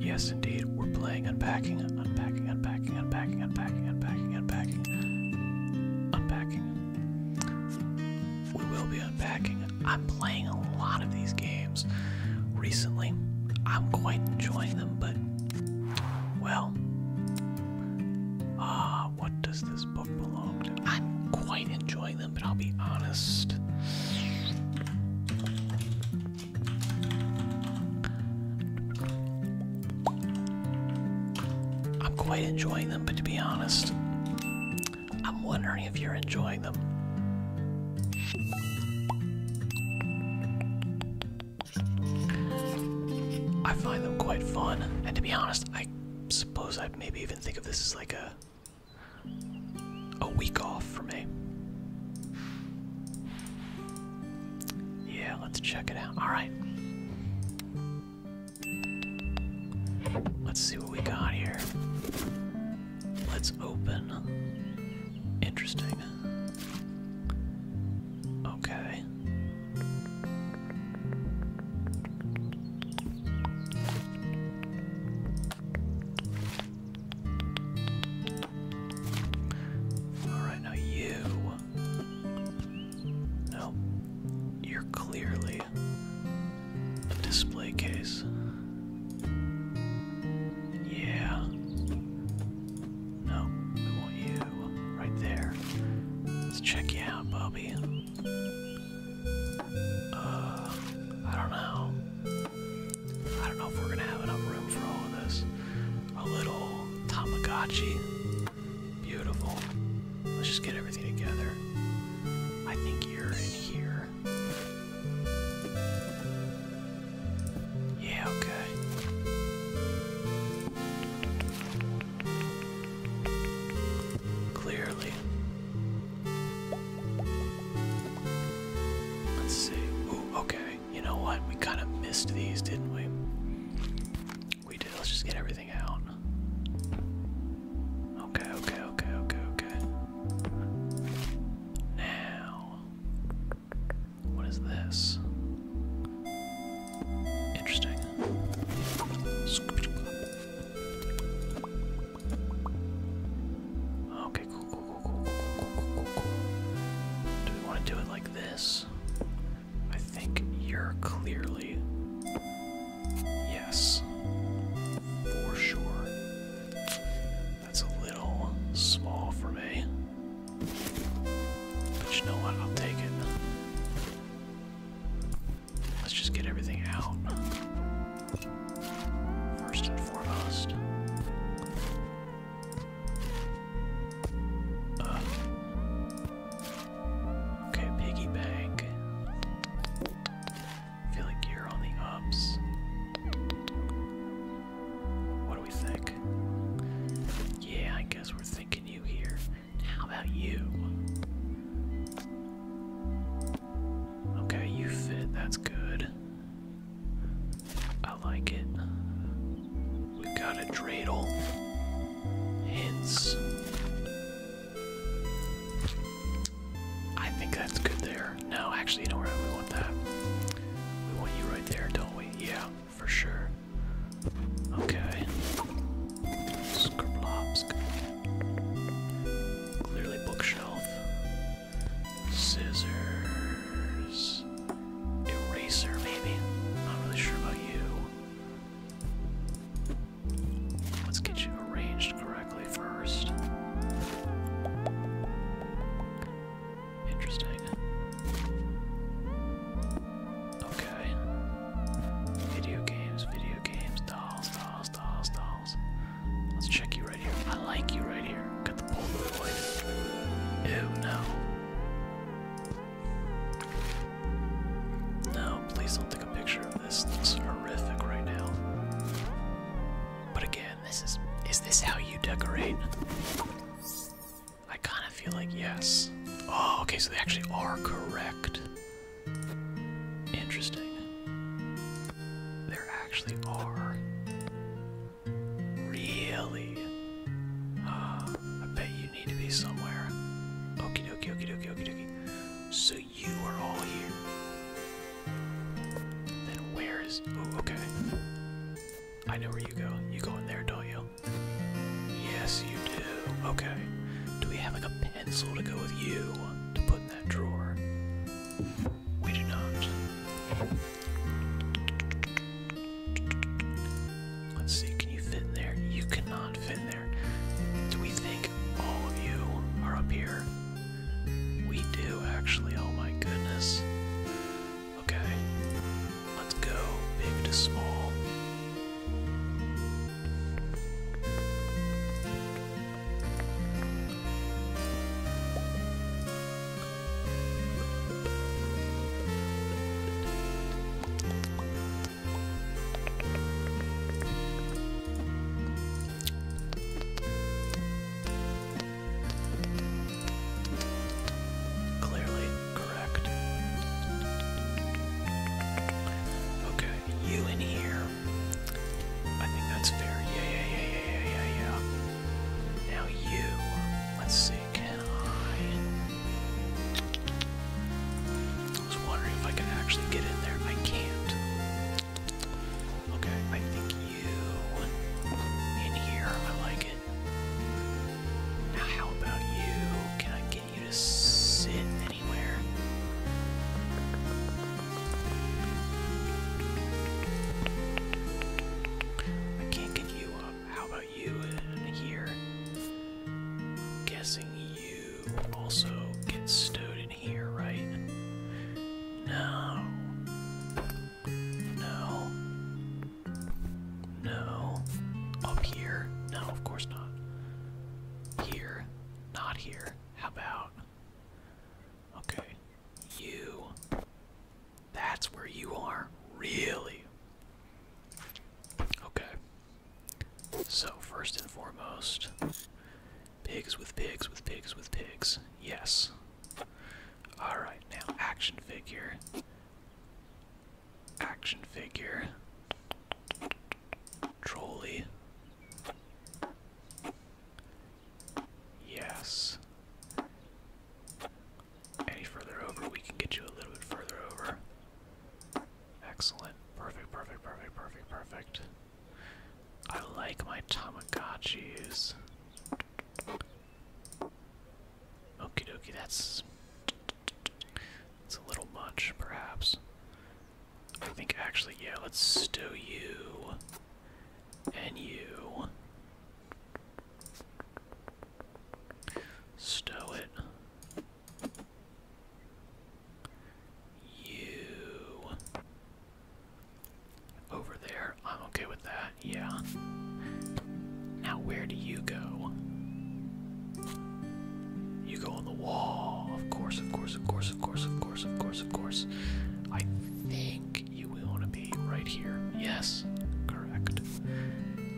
Yes, indeed, we're playing unpacking, unpacking, unpacking, unpacking, unpacking, unpacking, unpacking, unpacking. We will be unpacking. I'm playing a lot of these games recently. I'm quite enjoying them, but well, ah, uh, what does this book belong to? I'm quite enjoying them, but I'll be honest. I'm quite enjoying them, but to be honest, I'm wondering if you're enjoying them. I find them quite fun, and to be honest, I suppose i maybe even think of this as like a a week off for me. Yeah, let's check it out. Alright. Let's see what we got here. Let's open. Interesting. Okay. Alright, now you. No, you're clearly a display case. Yeah. No, we want you right there. Let's check you out, Bobby. Uh, I don't know. I don't know if we're gonna have enough room for all of this. A little Tamagotchi. Beautiful. Let's just get everything together. I think you're in here. Yeah, okay. Clearly. Let's see. Ooh, okay you know what? We kind of missed these, didn't we? We did. Let's just get everything out. Okay, okay, okay, okay, okay. Now, what is this? Interesting. Okay, cool, do we want to do it like this? I think you're clearly. Yes. For sure. That's a little small for me. But you know what? I'll take it. Let's just get everything out. First and foremost. Uh. Okay, piggy bank. I feel like you're on the ups. What do we think? Yeah, I guess we're thinking you here. How about you? Okay, you fit. That's good. I like it. We got a dreidel. Hints. I think that's good there. No, actually, you know where we want that. We want you right there, don't we? Yeah, for sure. Okay. Skrblopsk. Clearly bookshelf. Scissors. Eraser, maybe? Not really sure about you. Let's get you arranged correctly first. Interesting. Okay. Video games, video games, dolls, dolls, dolls, dolls. Let's check you right here. I like you right here. Got the Polaroid. Oh no. No, please don't take a picture of this. It looks horrific right now. But again, this is is this how you decorate? I kinda feel like yes. Oh, okay, so they actually are correct. Interesting. There actually are Really? Uh, I bet you need to be somewhere. Okie dokie, okie dokie, okie dokie. So you are all here. Then where is. Oh, okay. I know where you go. You go in there, do Yes, you do. Okay. Do we have like a pencil to go with you to put in that drawer? We do not. Let's see, can you fit in there? You cannot fit there. Do we think all of you are up here? We do, actually. Oh my goodness. Okay. Let's go big to small. Clearly correct. Okay, you in here. I think that's fair. Yeah, yeah, yeah, yeah, yeah, yeah, now you, let's see, can I? I was wondering if I could actually get in there. I can't. Okay, I think you in here. I like it. Now, how about you? Can I get you to sit anywhere? I can't get you up. How about you in here? guessing you also get stowed in here, right? No. No. No. Up here? No, of course not. Here? Not here. How about. Okay. You. That's where you are. Really? Okay. So, first and foremost, pigs with pigs with pigs with pigs. Yes. Alright, now action figure. Action figure. Trolley. Yes. Any further over, we can get you a little bit further over. Excellent. Perfect, perfect, perfect, perfect, perfect. I like my Tamagotchis. Okie dokie, that's. It's a little much, perhaps. I think actually, yeah, let's stow you and you stow it. You over there. I'm okay with that. Yeah. Now where do you go? You go on the wall. Of course, of course, of course, of course, of course, of course, of course. I think you will want to be right here. Yes, correct.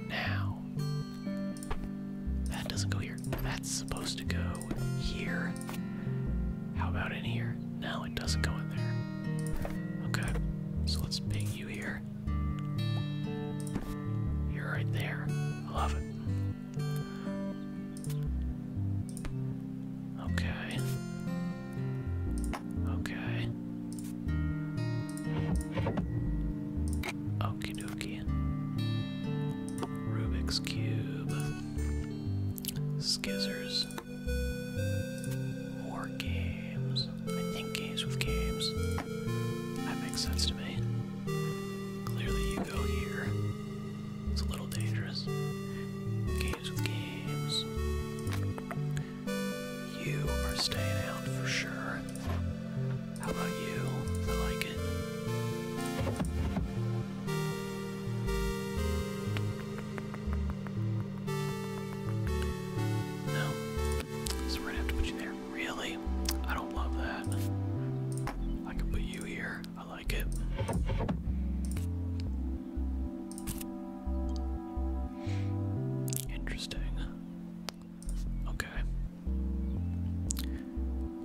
Now, that doesn't go here. That's supposed to go here. How about in here? Now it doesn't go in there. Okay, oh, so let's ping you here. You're right there. I love it. Okay. Okay. Okie dokie. Rubik's Cube. Skizzers. War games. I think games with games. That makes sense to me. Clearly, you go here. It's a little dangerous. games. You are staying out for sure. How about you? I like it. No. So we're gonna have to put you there. Really? I don't love that. I can put you here. I like it. Interesting. Okay.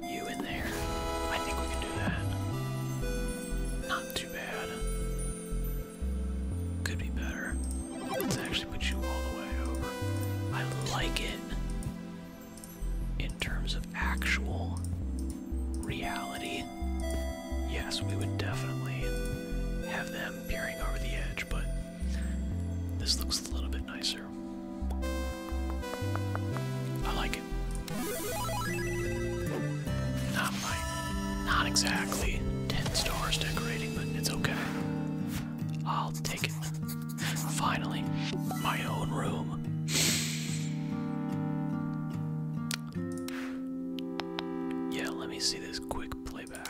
You in there. I think we can do that. Not too bad. Could be better. Let's actually put you all the way over. I like it in terms of actual reality. Yes, we would definitely have them peering over the edge, but this looks a little bit nicer. I like it. Not my, not exactly 10 stars decorating, but it's okay. I'll take it. Finally, my own room. Yeah, let me see this quick playback.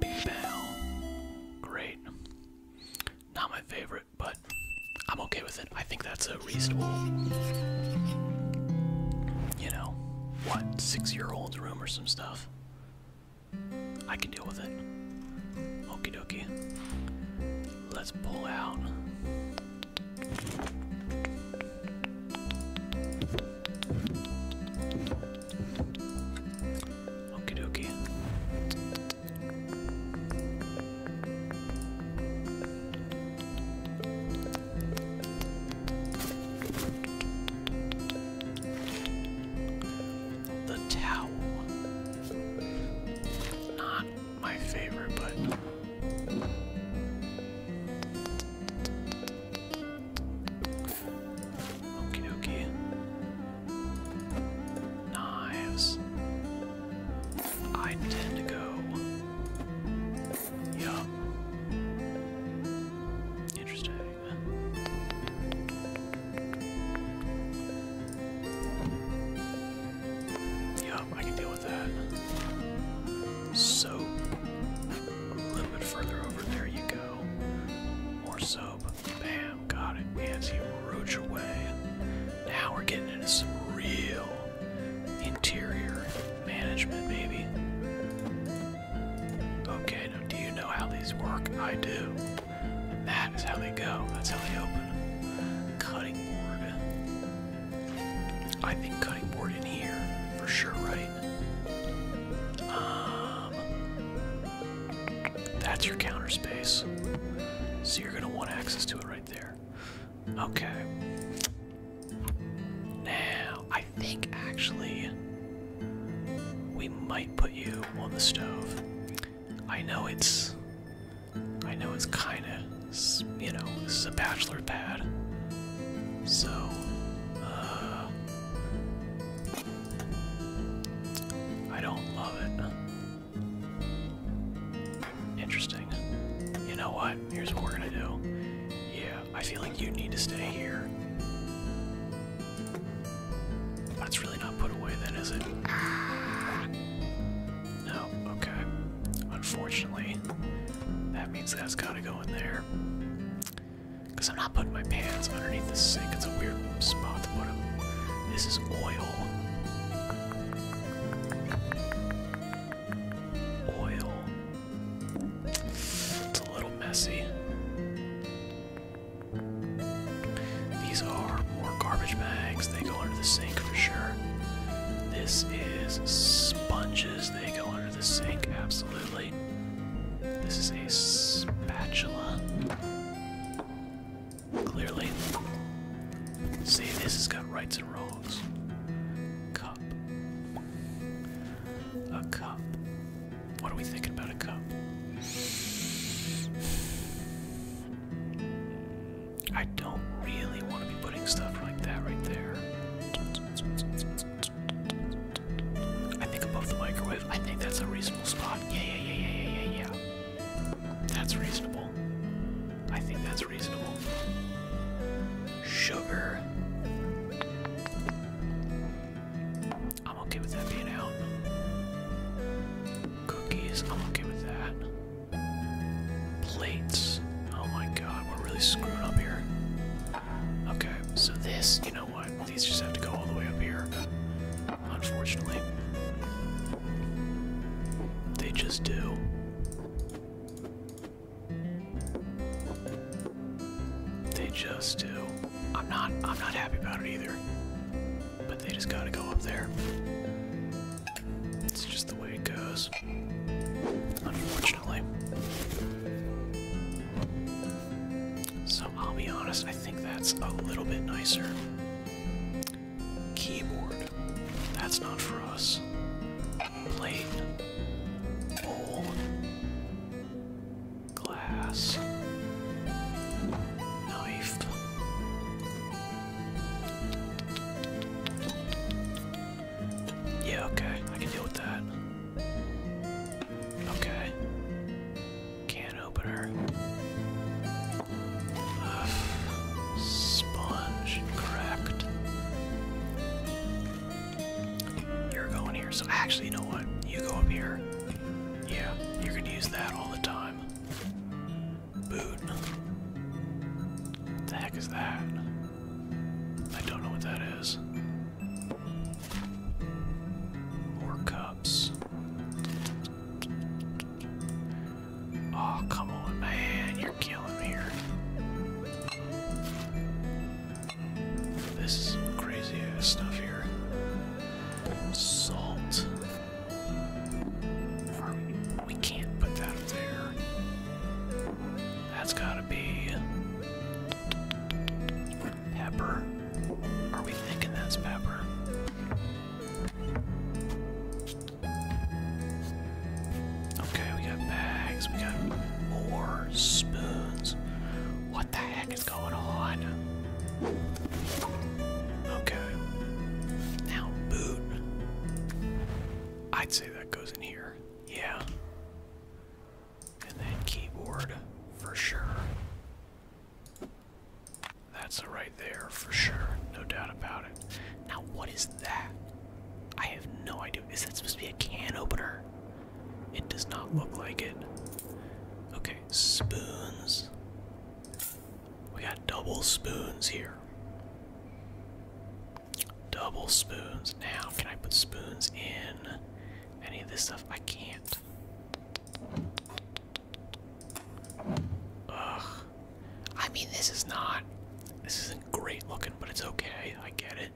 Big Great. Not my favorite, but I'm okay with it. I think that's a reasonable, you know, what, six year old's room or some stuff. I can deal with it. Okie dokie. Let's pull out. Okie dokie. The towel. Not my favorite, but. Okie dokie. Knives. I tend go. Yup. Interesting. Yup, I can deal with that. Soap. A little bit further over, there you go. More soap. Bam, got it. As you roach away. Now we're getting into some real interior management, baby. Okay, now do you know how these work? I do. And that is how they go. That's how they open. Cutting board. I think cutting board in here, for sure, right? Um, that's your counter space. So you're gonna want access to it right there. Okay. Now, I think actually we might put you on the stove. I know it's I know it's kind of you know this is a bachelor pad. So uh I don't love it. Interesting. You know what? Here's what we're going to do. Yeah. I feel like you need to stay here. That's really not put away then, is it? No, okay. Unfortunately, that means that's gotta go in there. Because I'm not putting my pans underneath the sink. It's a weird spot to put them. This is oil. Oil. It's a little messy. These are more garbage bags. They go under the sink for sure. This is sponges. They go under the sink, absolutely. This is a spatula. Clearly. See, this has got rights and wrongs. Cup. A cup. What are we thinking about a cup? I don't really want to be putting stuff like that right there. I think above the microwave. I think that's a reasonable spot. Yeah, yeah, yeah, yeah, yeah, yeah, That's reasonable. I think that's reasonable. Sugar. I'm okay with that being out. Cookies, I'm okay with that. Plates. Oh my god, we're really screwing up here. Okay, so this, you know what? These just have to go all the way up here. Unfortunately. They just do. They just do. I'm not I'm not happy about it either. But they just gotta go up there. It's just the way it goes. Unfortunately. So I'll be honest, I think that's a little bit nicer. Keyboard. That's not for us. Plate. Bowl glass, knife. Yeah, okay, I can deal with that. Okay. Can opener. sponge, correct. You're going here, so actually, you know what? You go up here. Yeah, you're gonna use that all the time. Boot. What the heck is that? I don't know what that is. More cups. Oh, come on, man. You're killing here. This is crazy ass stuff here. Salt. we can't put that up there. That's gotta be pepper. Are we thinking that's pepper? Okay, we got bags, we got more spoons. What the heck is going on? Okay. Now, boot. I'd say that goes in here. Yeah. And then keyboard, for sure. That's right there, for sure. No doubt about it. Now, what is that? I have no idea. Is that supposed to be a can opener? It does not look like it. Okay, spoons. We got double spoons here. Double spoons. Now, can I put spoons in any of this stuff? I can't. Ugh. I mean, this is not. This isn't great looking, but it's okay. I get it.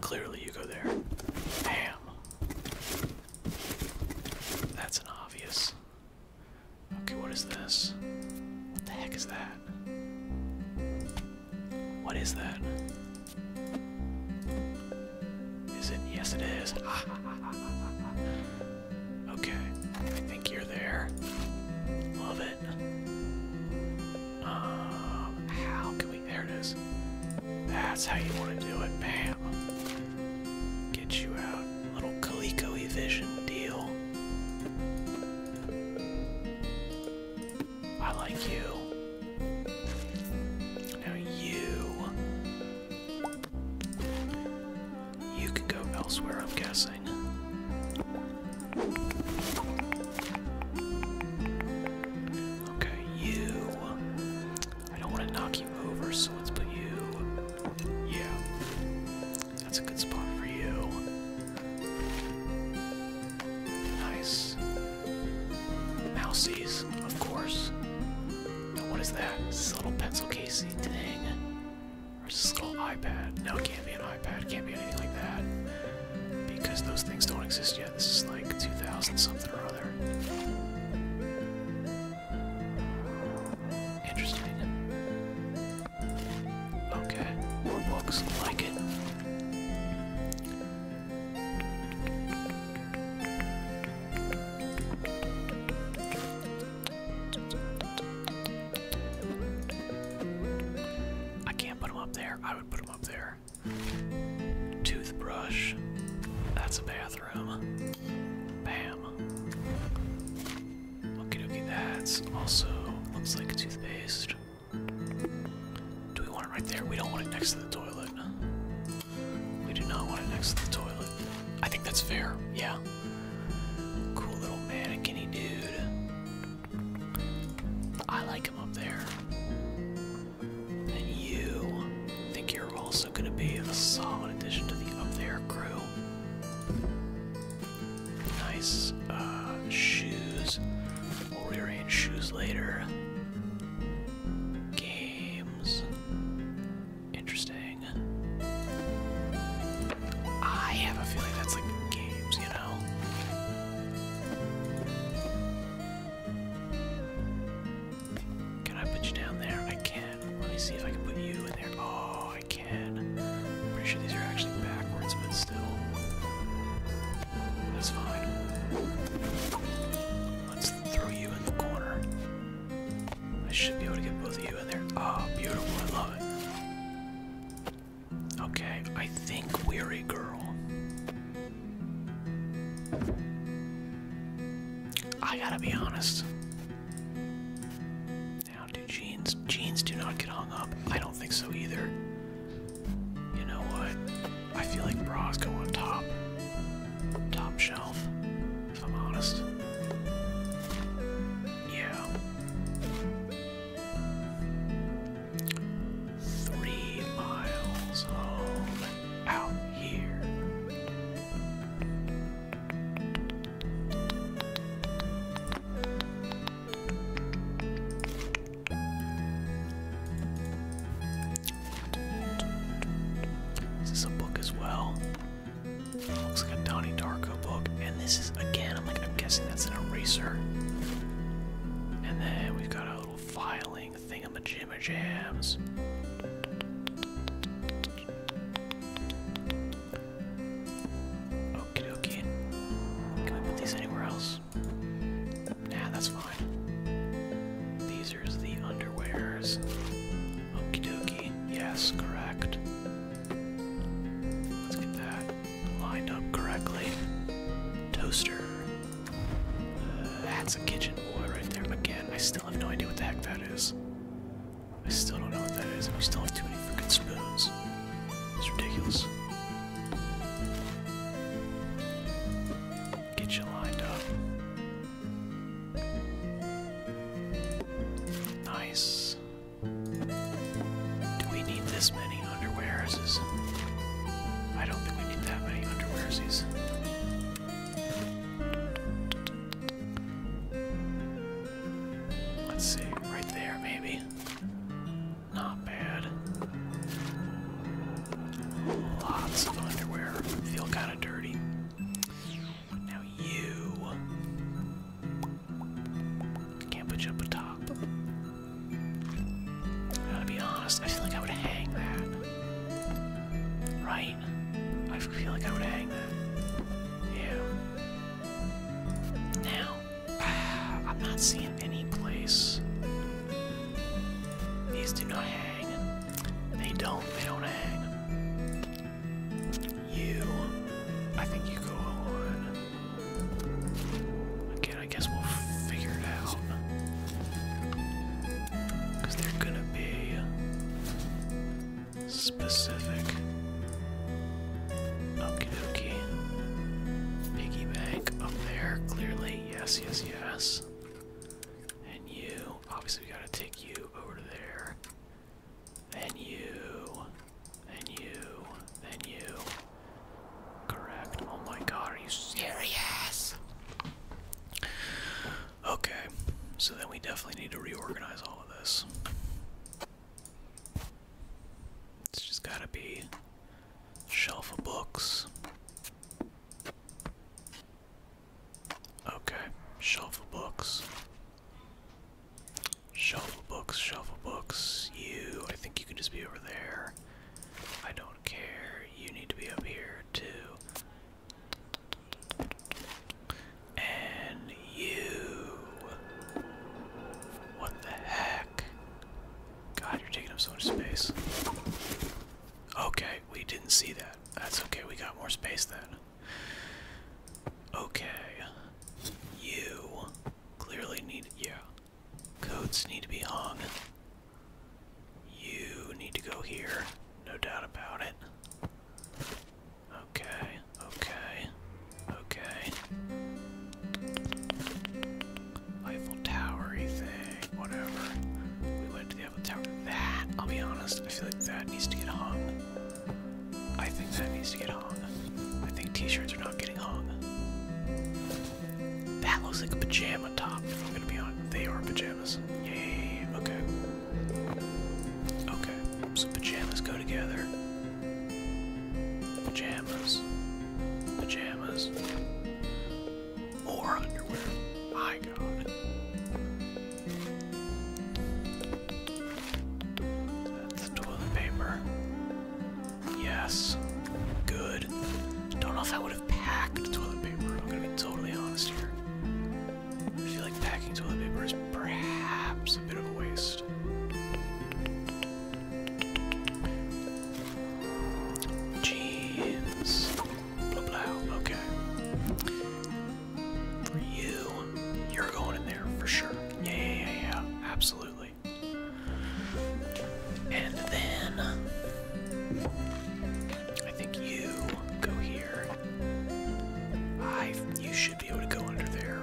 Clearly, you go there. Bam. That's an obvious. Okay, what is this? What the heck is that? What is that? Is it? Yes, it is. okay, I think you're there. Love it. Um, how there it is. That's how you want to do it. Pam. Get you out. Little Coleco Vision deal. I like you. Now you. You can go elsewhere, I'm guessing. Okay, you. I don't want to knock you over, so let's put you. Yeah. That's a good spot for you. Nice. Mousies, of course. what is that? this little pencil casey thing? Or is this a little iPad? No, it can't be an iPad. It can't be anything like that. Because those things don't exist yet this is like 2000 something or other. Interesting. Okay, looks like it. I can't put him up there. I would put him up there. Toothbrush. That's a bathroom. Bam. Okie dokie, that's also looks like toothpaste. Do we want it right there? We don't want it next to the toilet. We do not want it next to the toilet. I think that's fair, yeah. Cool little mannequin dude. I like him up there. And you think you're also going to be a solid addition to the Up There crew. Nice uh, shoes. We'll rearrange shoes later. Games. Interesting. I have a feeling that's like games, you know? Can I put you down there? I can. Let me see if I can put you in there. Oh, I can. pretty sure these are actually backwards, but still. That's fine. Let's throw you in the corner. I should be able to get both of you in there. Oh, beautiful. I love it. Okay, I think weary girl. I gotta be honest. Now, do jeans? Jeans do not get hung up. I don't think so either. You know what? I feel like bras go on top, top shelf. If I'm honest. Yeah three miles home out here. Is this a book as well? Looks like a Donnie Darko book, and this is again. I'm like, I'm guessing that's an eraser. And then we've got a little filing thingamajimmer jams. Okie dokie. Can we put these anywhere else? Nah, that's fine. These are the underwears. Okie dokie. Yes, correct. Let's get that lined up correctly. Toaster. That's a kitchen boy right there. Again, I still have no idea what the heck that is. I still don't know what that is. and We still have too many freaking spoons. It's ridiculous. Get you lined up. Nice. Do we need this many underwears? I don't think we need that many underwearsies. Let's see, right there maybe. Not bad. Lots of underwear. Feel kind of dirty. Now you can't put you up atop. I gotta be honest, I feel like I would hang that. Right? I feel like I would hang that. Yeah. Now, I'm not seeing any place. These do not hang. They don't, they don't hang. You, I think you go on. Okay. I guess we'll figure it out. they're gonna be specific. Okie dokie. Piggy bank up there, clearly. Yes, yes, yes. And you. Obviously, we gotta take you over there. And you. And you. And you. Correct. Oh my god, are you serious? Okay, so then we definitely need to reorganize all of this. It's just gotta be shelf of books. Okay, shelf of books. Shelf of books, shelf of books. You, I think you can just be over there. I don't care. You need to be up here too. And you. What the heck? God, you're taking up so much space. Okay, we didn't see that. That's okay, we got more space then. Okay. You clearly need. Yeah, Coats need to be hung. You need to go here, no doubt about it. Okay, okay, okay. Eiffel Towery thing, whatever. We went to the Eiffel Tower. That, I'll be honest, I feel like that needs to get hung. I think that needs to get hung. I think t-shirts are not getting hung. That looks like a pajama top, if I'm gonna be on. They are pajamas. Yay, okay. Okay, so pajamas go together. Pajamas. Pajamas. Or underwear. My god. That's toilet paper. Yes. Good. Don't know if that would have would toilet paper. I'm gonna be totally honest here. I feel like packing toilet paper is perhaps a bit of a waste. Jeans. Okay. For you, you're going in there for sure. Yeah, yeah, yeah, yeah. absolutely. And then I think you go here. I you should be able to go under there.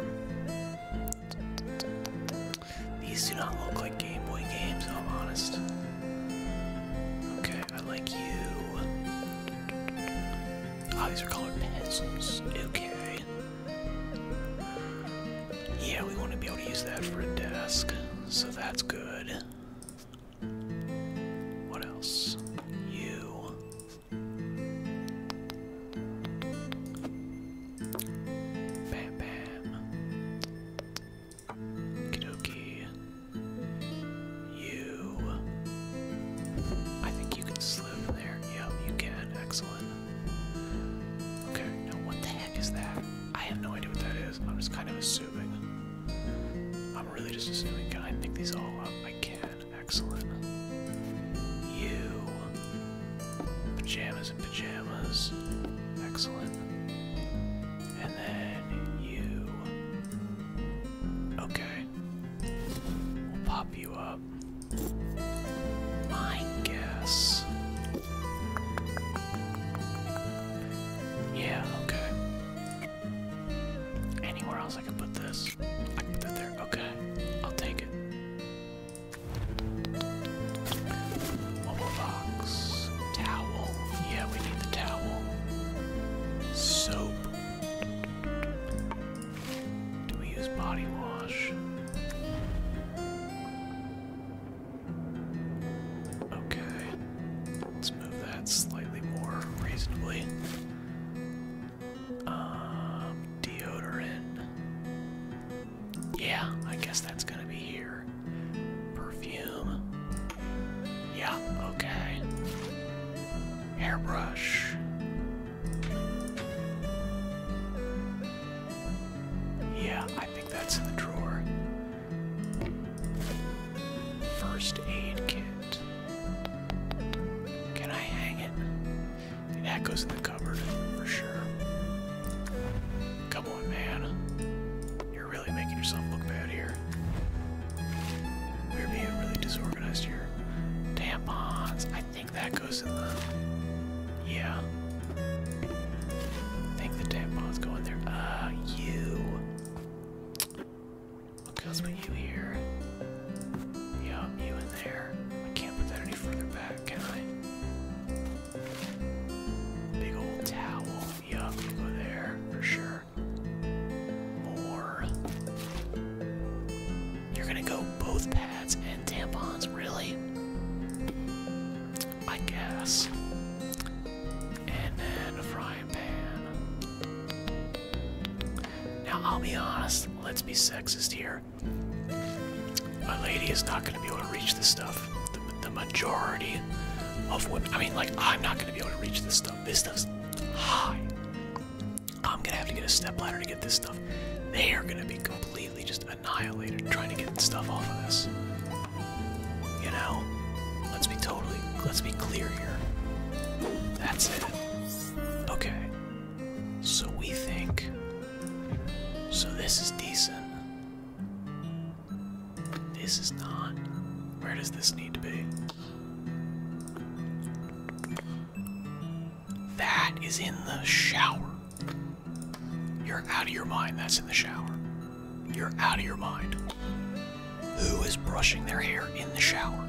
These do not look like Game Boy games, I'm honest. Okay, I like you. Oh, these are colored pencils. Okay. Yeah, we want to be able to use that for a desk, so that's good. What else? You. Bam bam. Kidoki. You. I think you can slip there. Yep, you can. Excellent. Okay, now what the heck is that? I have no idea what that is. I'm just kind of assuming. I'm really just assuming. Can I pick these all up? I can. Excellent. You. Pajamas and pajamas. Excellent. And then you. Okay. We'll pop you up. My guess yeah, okay. Anywhere else I can put this? I can put that there. Okay, I'll take it. Mobile box. Towel. Yeah, we need the towel. Soap. Do we use body wash? Okay. Let's move that slightly more reasonably. Um, deodorant. Yeah, I guess that's gonna be here. Perfume. Yeah, okay. Hairbrush. Yeah, I think that's in the drawer. First aid kit. Can I hang it? That goes in the cupboard for sure. Come on, man. You're really making yourself look bad here. We're being really disorganized here. Tampons. I think that goes in the. Yeah. I think the tampons go in there. Uh, you. What goes with you here? Yeah, you in there. I can't put that any further back, can I? Big old towel. Yup, you go there for sure. More. You're gonna go both pads and tampons, really? I guess. And then a frying pan. Now, I'll be honest, let's be sexist here. A lady is not going to be able to reach this stuff. The, majority of women, I mean, like, I'm not going to be able to reach this stuff. This stuff's high. I'm going to have to get a step ladder to get this stuff. They are going to be completely just annihilated trying to get stuff off of this. You know? Let's be totally let's be clear here. That's it. Okay. So we think so this is decent. This is not. Where does this need to be? That is in the shower. You're out of your mind. That's in the shower. You're out of your mind. Who is brushing their hair in the shower?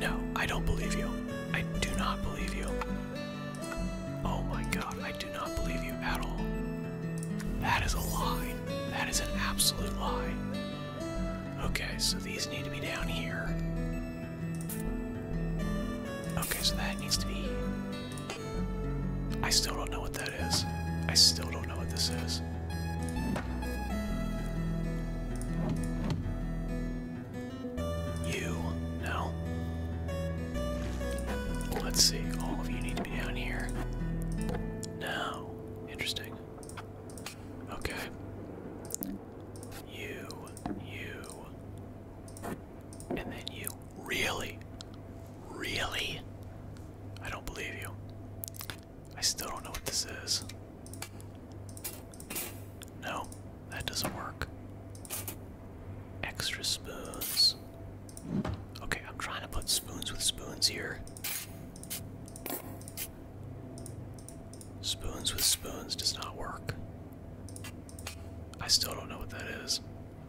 No, I don't believe you. I do not believe you. Oh my god, I do not believe you at all. That is a lie. That is an absolute lie. Okay, so these need to be down here. Okay, so that needs to be I still don't know what that is. I still don't know what this is. You, no. Let's see, all of you need to be down here. No. Interesting. Okay. You, you. And then you. Really? Really? I don't believe you. I still don't know what this is. No, that doesn't work. Extra spoons. Okay, I'm trying to put spoons with spoons here. Spoons with spoons does not work. I still don't know what that is.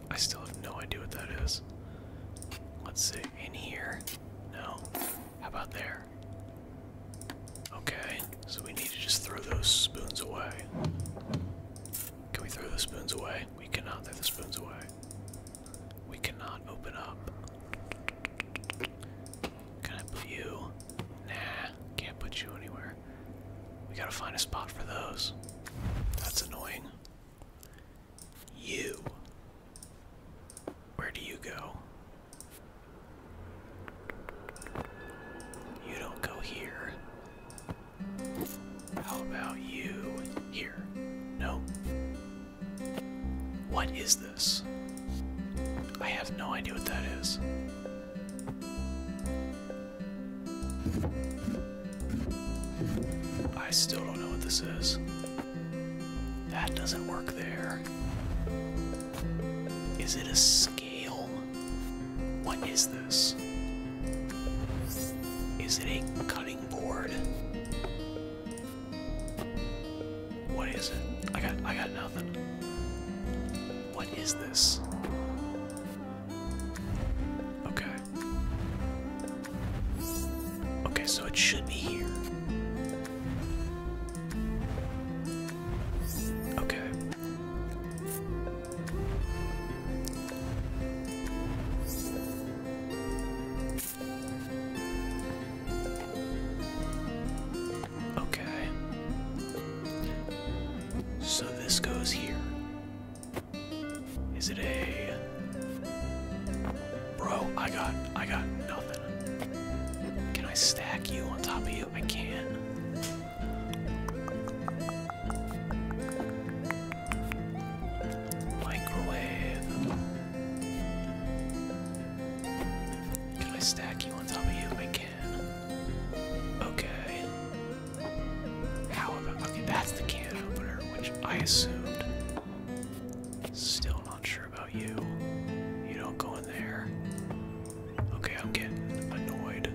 I still have no idea what that is. Let's see. In here? No. How about there? Okay, so we need to just throw those spoons away. Can we throw the spoons away? We cannot throw the spoons away. We cannot open up. Can I put Nah, can't put you anywhere. We gotta find a spot for those. That's annoying. You. Where do you go? You don't go here. How about you here? No. What is this? I have no idea what that is. I still don't know what this is. That doesn't work there. Is it a scale? What is this? Is it a cutting board? What is it? I got I got nothing. What is this? Okay. Okay, so it should be here. Okay. Okay. So this goes here. Is it a Bro, I got I got nothing. Can I stack you on top of you? I can. Microwave. Can I stack you on top of you? I can. Okay. How about, okay, that's the can opener, which I assumed. Still not sure about you. You don't go in there. Okay, I'm getting annoyed.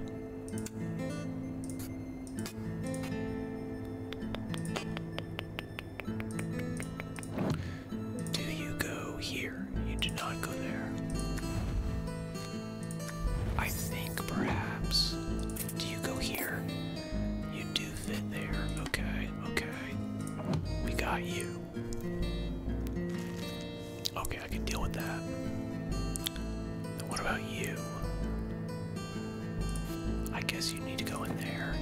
Do you go here? You do not go there. I think perhaps. Do you go here? You do fit there. Okay, okay. We got you. Okay, I can deal with that. Now what about you? I guess you need to go in there.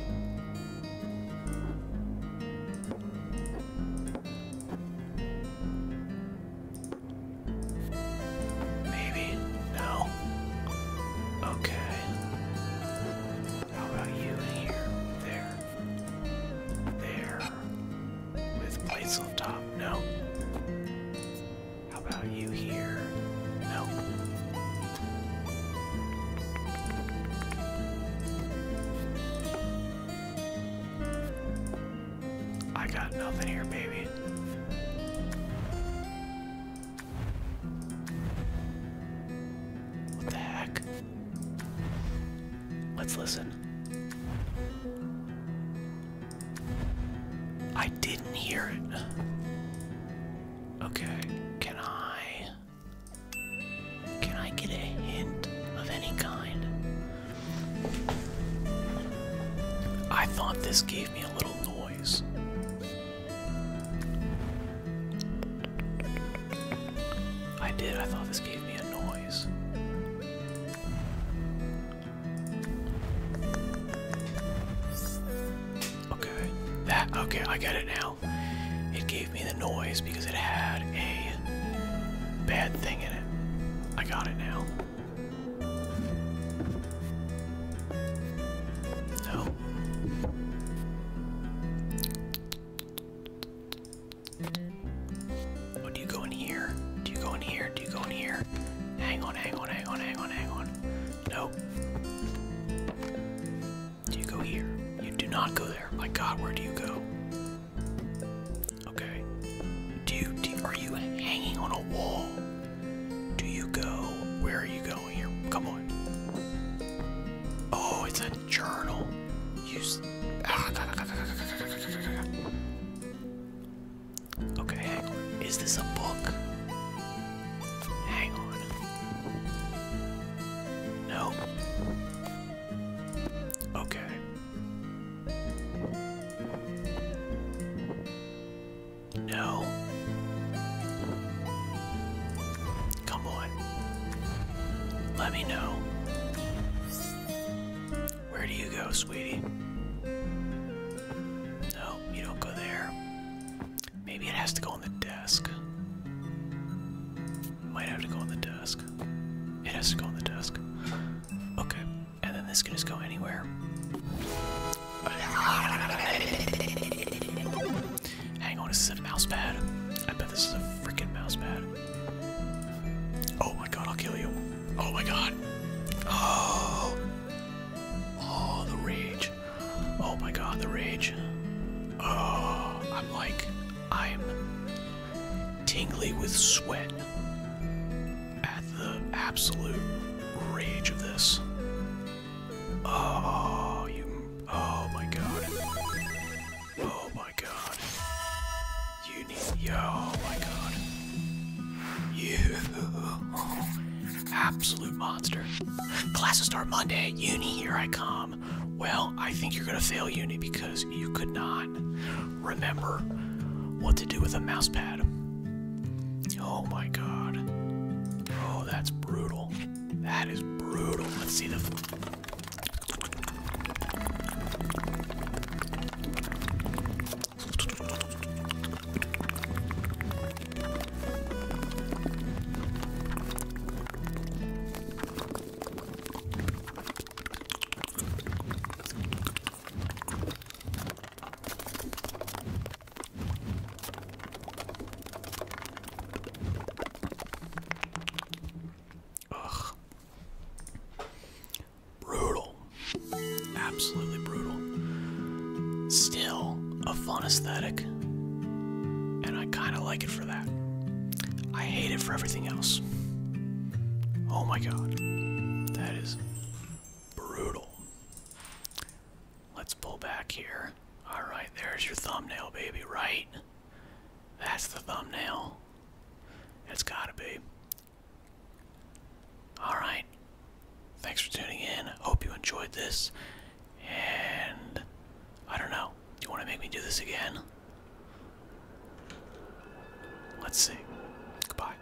Maybe? No? Okay. How about you in here? There. There. With plates on top? No. How about you here? No. I got nothing here, baby. What the heck? Let's listen. I didn't hear it. Okay, can I can I get a hint of any kind? I thought this gave me a little noise. I did, I thought this gave me a noise. Okay, that, okay, I get it now. It gave me the noise because it had a bad thing in it. I got it now. No. do you go in here? Do you go in here? Do you go in here? Hang on, hang on, hang on, hang on, hang on. No. Do you go here? You do not go there. My god, where do you go? Okay. Do are you hanging on a wall? Do you go? Where are you going here? Come on. Oh, it's a journal. Use. Ah, okay, Is this a book? Hang on. No. Okay. No. Come on. Let me know. Where do you go, sweetie? No, you don't go there. Maybe it has to go on the desk. Might have to go on the desk. It has to go on the desk. Okay. And then this can just go anywhere. Hang on, is this a mouse pad? I bet this is a freaking mouse pad. Oh my god, I'll kill you. Oh my god. Oh. Oh, the rage. Oh my god, the rage. Oh, I'm like, I'm tingly with sweat at the absolute rage of this. Oh, you. Oh my god. Oh my god. You need. Yo, oh my god. You. Absolute monster. Classes start Monday. Uni, here I come. Well, I think you're gonna fail uni because you could not remember what to do with a mouse pad. Oh my god. Oh, that's brutal. That is brutal. Let's see the. Ugh. Brutal. Absolutely brutal. Still a fun aesthetic. And I kind of like it for that. I hate it for everything else. Oh my god. That is brutal. Let's pull back here. Alright, there's your thumbnail, baby, right? That's the thumbnail. It's gotta be. Alright. Thanks for tuning in. Hope you enjoyed this. And I don't know. you want to make me do this again? Let's see. Goodbye.